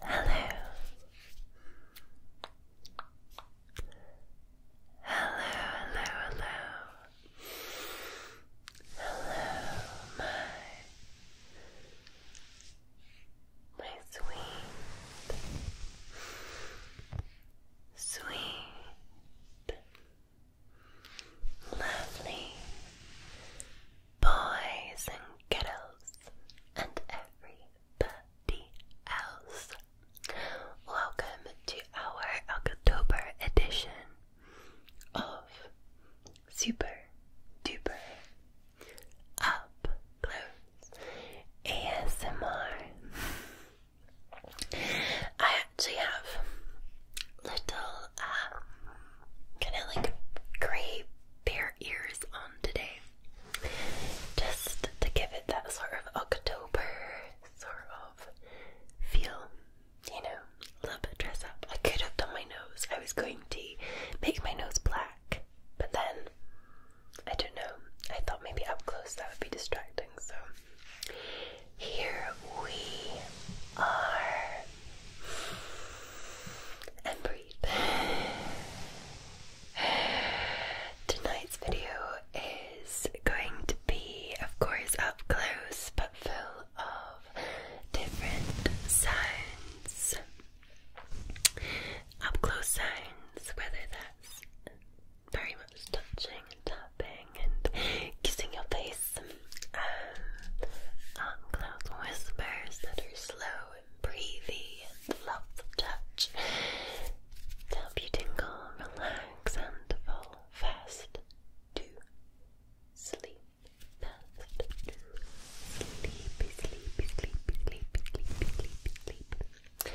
Hello. Hello, hello, hello. Hello, my my sweet, sweet, Lovely boys and girls and everybody else. Welcome to our October edition of Super Duper Up Close ASMR. I actually have little, um, kind of like gray bear ears on today, just to give it that sort of October sort of feel. You know, a little bit dress up. I could have done my nose. I was going to make my nose black, but then I don't know. I thought maybe up close that would be distracting, so here we are. And breathe. Tonight's video is going to be, of course, up close but full of different signs. Up close signs, whether that's very much touching and tapping and kissing your face. Um, arm cloud whispers that are slow and breathy and lots of touch help you tingle, relax, and fall fast to sleep. Fast to sleepy, sleepy, sleepy, sleepy, sleepy, sleepy, sleepy.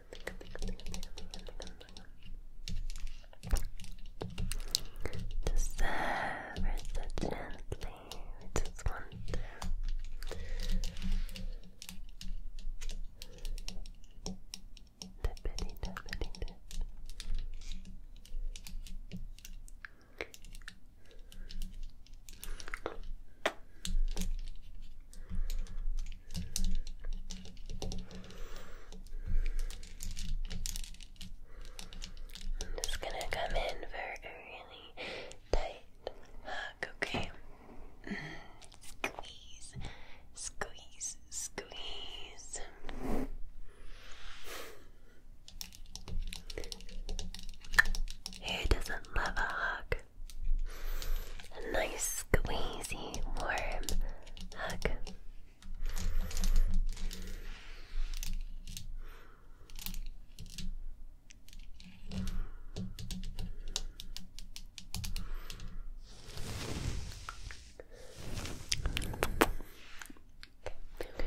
To serve her so gently, we just want to dippity, dippity, dip. I'm just gonna come in for a really tight hug, okay? Squeeze, squeeze, squeeze. Who doesn't love a hug? A nice, squeezy, warm hug.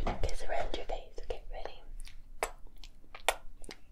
i around your face. Get ready.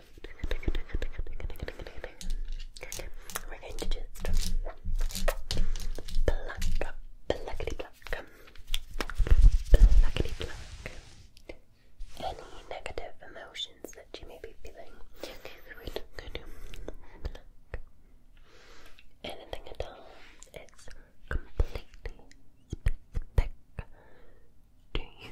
we're going to just pluck, pluckity pluck, pluckity pluck any negative emotions that you may be feeling. we're going to pluck anything at all. It's completely spectacular. Do you?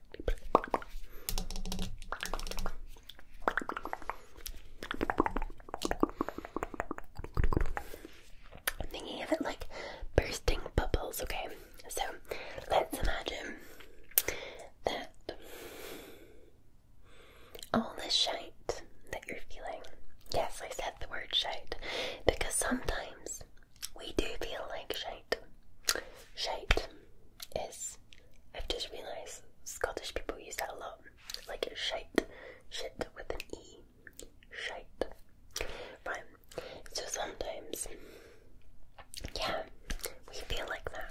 I'm thinking of it like bursting bubbles, okay? So let's imagine that all this shite that you're feeling, yes, I said the word shite because sometimes we do feel like shite. Shite is, I've just realised Scottish people use that a lot. Like it's shite, shit with an E. Shite. Right, so sometimes, yeah, we feel like that.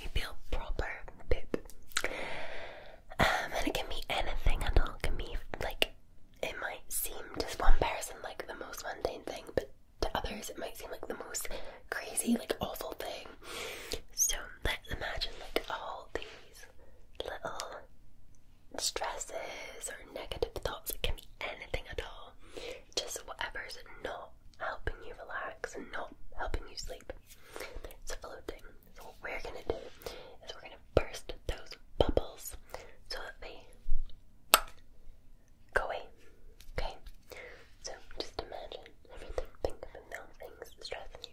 We feel proper poop. Um, and it can be anything at all. It can be like, it might seem just one person like the most mundane thing, but to others it might seem like the most crazy, like awful thing. So let's imagine like all these little stresses or negative thoughts. It can be anything at all. Just whatever is not helping you relax and not helping you sleep. It's a floating. So what we're gonna do is we're gonna burst those bubbles so that they go away. Okay? So just imagine everything, think of a million things stressing you.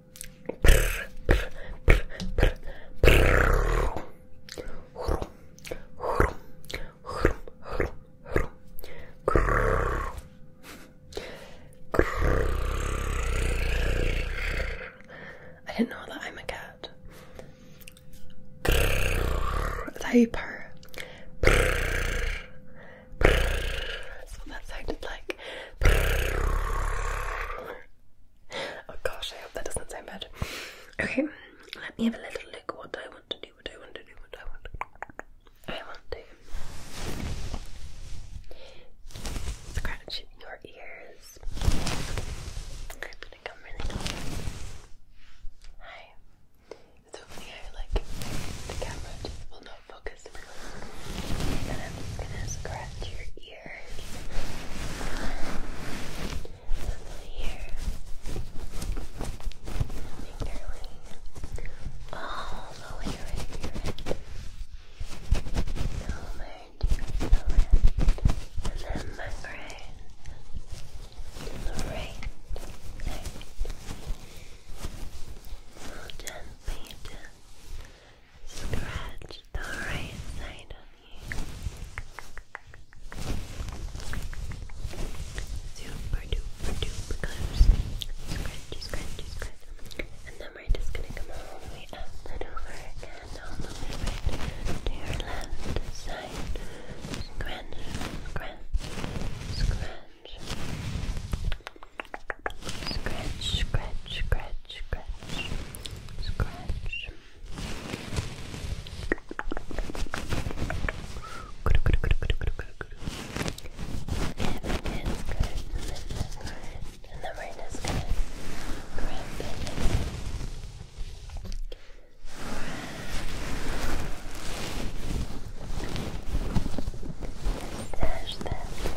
I didn't know that I'm a cat. Is that how you purr? That's that sounded like. Oh gosh, I hope that doesn't sound bad. Okay, let me have a little look what I want to do, what I want to do, what I want to do. I want to scratch your ears. I'm gonna come really Hi. It's only like the camera just will not focus please. And I'm gonna scratch your ears. All the way right And then my brain. To the right. Right. So gently, Scratch the right side of you. Super duper duper scratch. And then we're just gonna come all the way up and over and all the way to your left side. Scratch, scratch, scratch. Scratch, scratch, scratch, scratch, scratch. Good, good, good, good, good, good, good. And the kid's good, and the kid's good, and the rain is good. Correct, Stash that.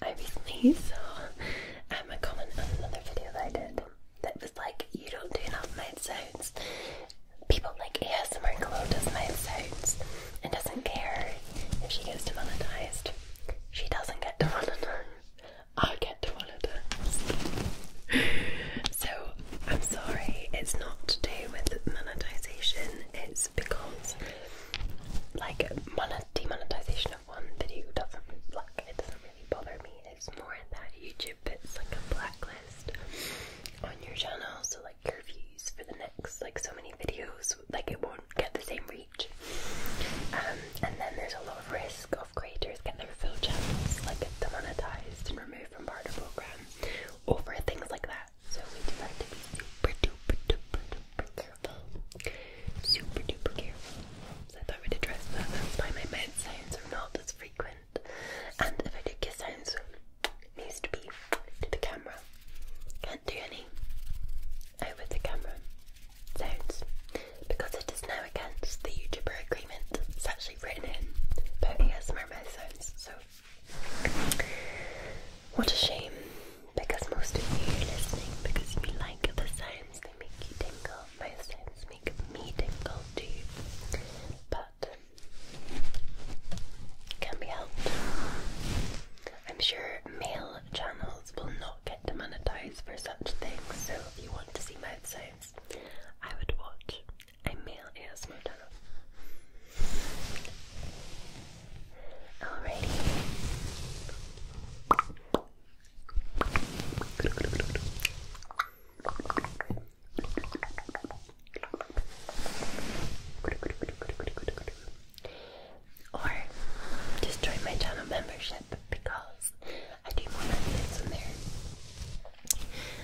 I recently saw um, a comment on another video that I did that was like, you don't do enough mouth sounds. People like ASMR Glow does mouth sounds and doesn't care if she gets demonetized. She doesn't get demonetized. I get demonetized. so I'm sorry, it's not to do with monetization, it's because like demonetization one video doesn't like it doesn't really bother me. It's more that YouTube it's like a blacklist on your channel, so like your views for the next like so many videos, like it won't get the same reach. Um, and then there's a lot of risk of creators getting their full channels like demonetized and removed from part of program over things like that. So we do have to be super duper duper duper careful super duper careful. So if I were to dress that, that's why my mouth sounds are not as frequent. And if I do kiss sounds, it needs to be to the camera. Can't do any over the camera sounds because it is now against the YouTuber agreement. It's actually written in about ASMR mouth sounds. So what a shame because most of you are listening because you like the sounds they make you tingle most make me tingle too, but can be helped. I'm sure male channels will not get demonetized for such things, so if you want to see mouth sounds, I would watch a male ASMR channel. Alrighty. Or just join my channel membership because I do more updates on there.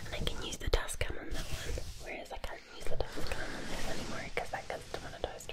And I can use the task cam on that one, whereas I can't use the task cam on this anymore because that gets demonetized.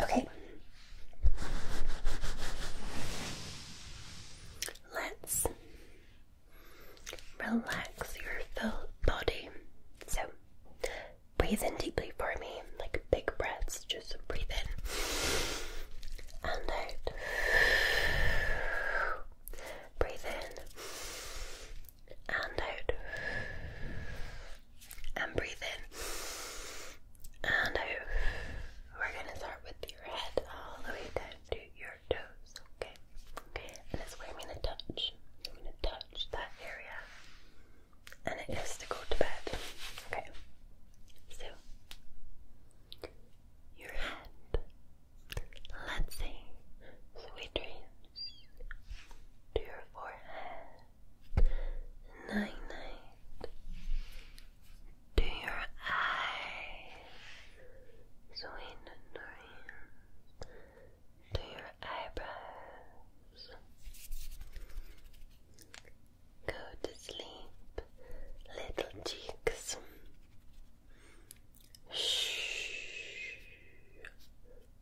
Okay. Let's relax your full body. So, breathe in deeply for me, like big breaths. Just breathe in and out. Breathe in and out. And breathe in and out. We're going to start with your head all the way down to your toes, okay? And that's where I'm going to touch. I'm going to touch that area. And it is to go to bed, okay? So, your head Let's say sweet dreams to your forehead, night night to your eyes, sweet dreams to your eyebrows. Go to sleep, little cheeks. Shh.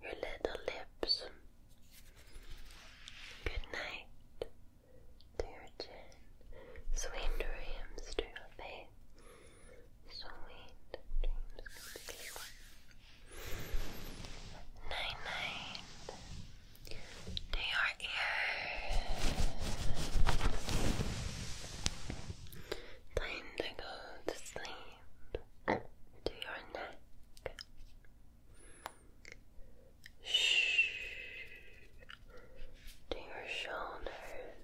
Your little lips. Good night to your Sweet dreams to your Sweet dreams. Night night to your Time to go to sleep to your neck. Shh. To your shoulders.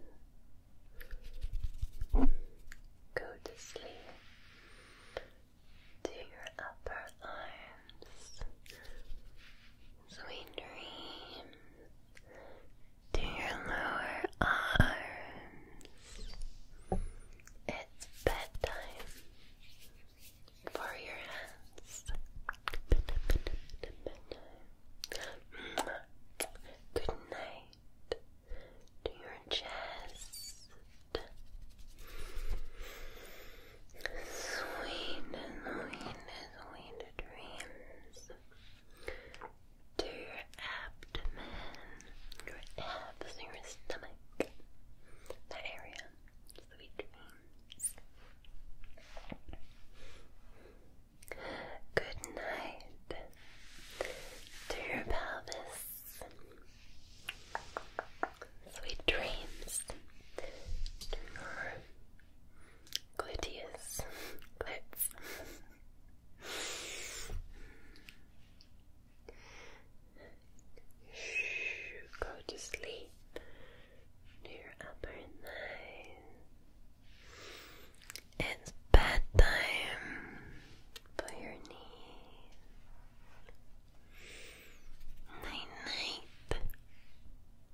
Go to sleep. To your upper arms. Sweet dreams to your lower arms. It's bedtime for your hands. Good night to your chest. Sweet, sweet, sweet dreams to your abdomen, your abs, your stomach, that area. Sweet dreams. Good night to your pelvis. Sweet dreams to your Gluteus. Glutes. go to sleep. It's bedtime for your knees. Night night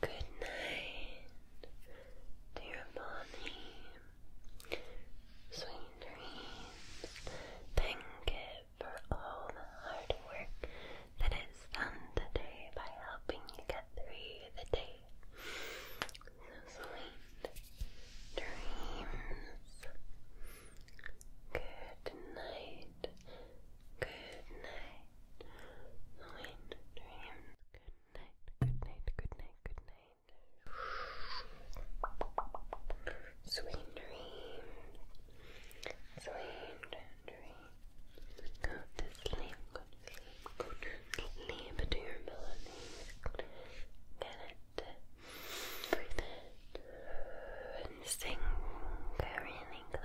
Good night, dear Bonnie. Sweet dreams. Thank it for all the hard work that is done today by helping you get through the day. sweet dreams. Good night. Good night. Sweet dreams. Good night, good night, good night, good night. Sweet dreams. Sweet dreams. Go to sleep, go to sleep, go to sleep to your melody. Get it. Breathe it. And sing really close.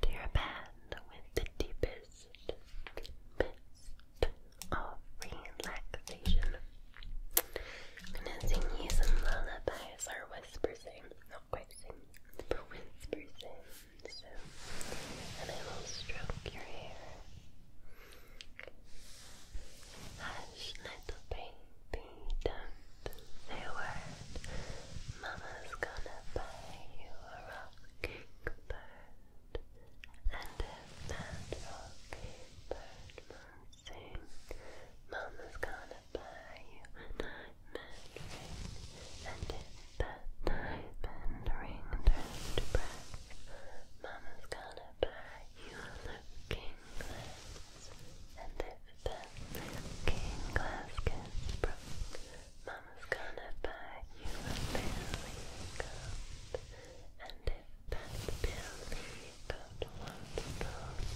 to your bed with the deepest of relaxation. I'm going sing you some lullabies or whisper eh? Not quite sing, but whisper eh? and I will stroke your hair. Hush, little baby, don't say a word. Mama's gonna buy you a rocking bird, and if that rocking bird won't sing, Mama's gonna buy you a diamond ring, and if that diamond ring turns to brass, Mama's gonna buy you a looking glass, and if that looking glass gets broke, Mama's gonna buy you a billy goat. And if that billy goat wants a bone,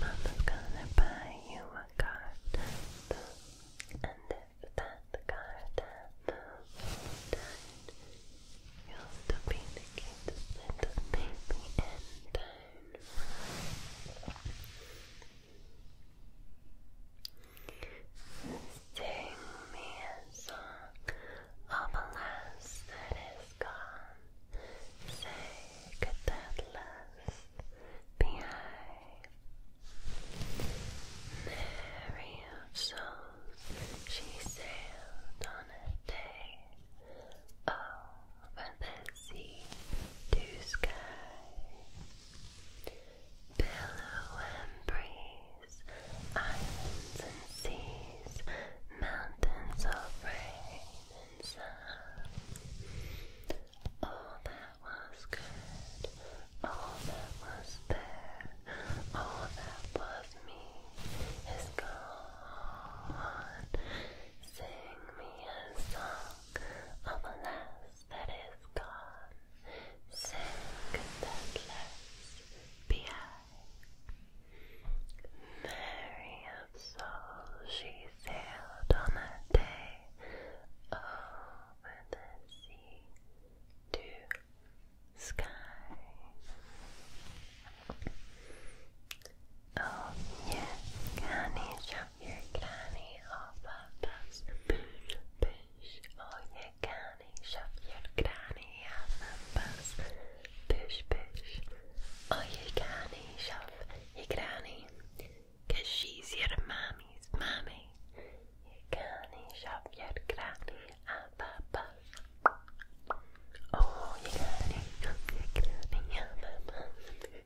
Mama's gonna buy you a garden And if that garden bone is done, you'll be the cutest little baby in town. Sing me a song of a lass that is gone. Say, could that be I? Mary of souls, she sailed on a day over the sea to sky. Billow and breeze, islands and seas, mountains of rain and sun. All that was good, all that was there, all that was me is gone. Sing me a song of a last that is gone, sink that left behind. Mary of soul, she sailed on that day over the sea to sky. Oh yeah, honey, show your granny or papa's bush, bush. Oh, your granny, shove your granny or papa's bush, bush. Oh, your granny, shove your granny, cause she's your mommy's mommy. Your granny, shove your granny or papa's. Oh, your granny, shove your granny or papa's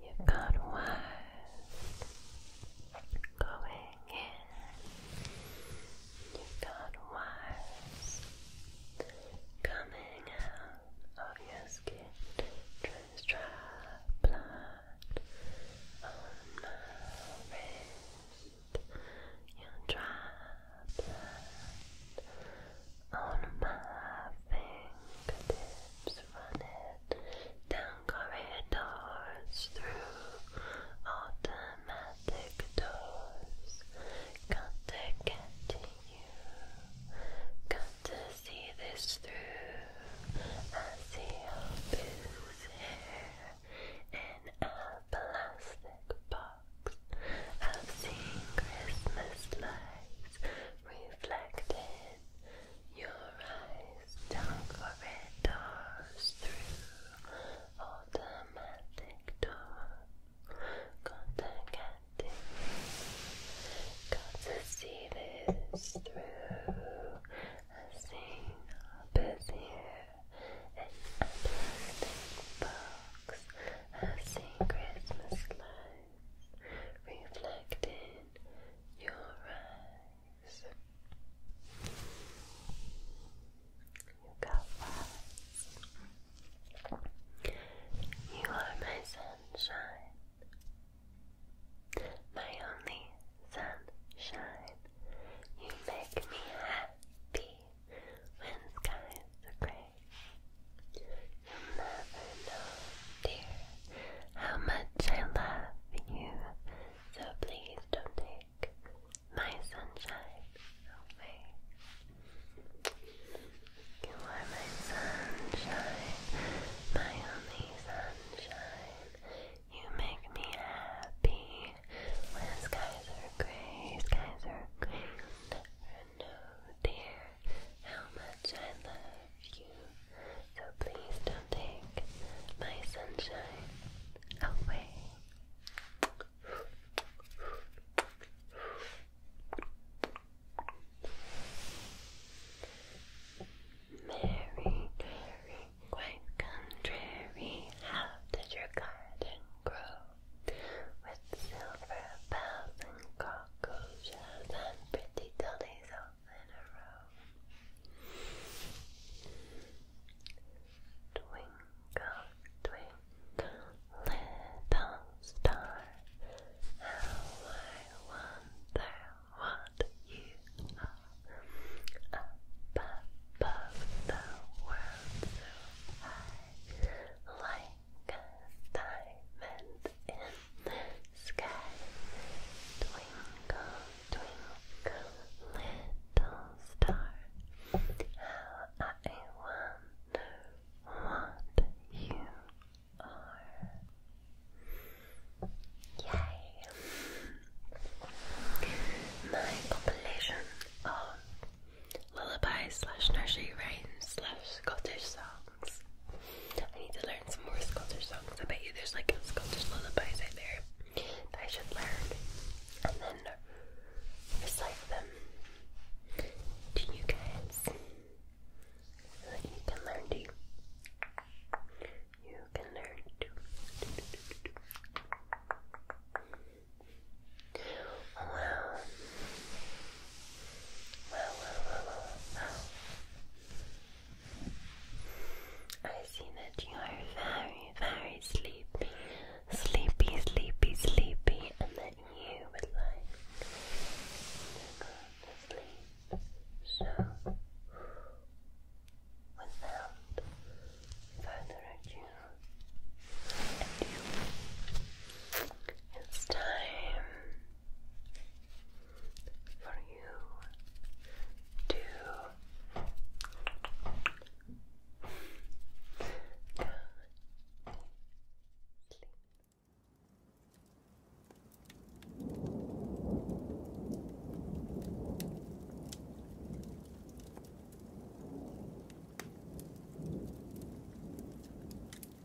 You've got one going in. you got wires coming out of your skin. Just dry blood on my wrist. Your dry blood on my fingertips, run down corridors, through automatic doors. Got to get got to see this through. I see your booze hair in a plastic box. I've seen Christmas lights reflected your eyes down corridors through automatic doors. Contacting got to see this through a single busy and uplifting box, a seen Christmas light reflect your eyes. You got lots. You are my sunshine. My only sunshine. You make me happy when skies are gray. You'll never know, dear, how much I love you. So please don't take my sunshine away. You are my sunshine, my only sunshine. You make me happy when skies are gray, skies are gray. You'll never know, dear, how much I love you. So please don't take my sunshine away. Mary, Mary, quite contrary, how did your garden grow? with silver bells and cockroaches and pretty dollies in a row. Twinkle, twinkle, little star, how I wonder what you are up above the world so high. Like diamond in the sky. Twinkle, twinkle, little star. How I wonder what you are. Yay! My compilation of lullabies slash nursery rhymes slash Scottish songs. I need to learn some more Scottish songs. I bet you there's like Scottish lullabies out there that I should learn and then recite them to you guys so that you can learn to. You can learn to. Wow. Wow, wow, wow, wow, I see that you are very, very sleepy. Sleepy, sleepy, sleepy. And that you would like to go to sleep. So, without further ado, do. It's time for you to come sleep.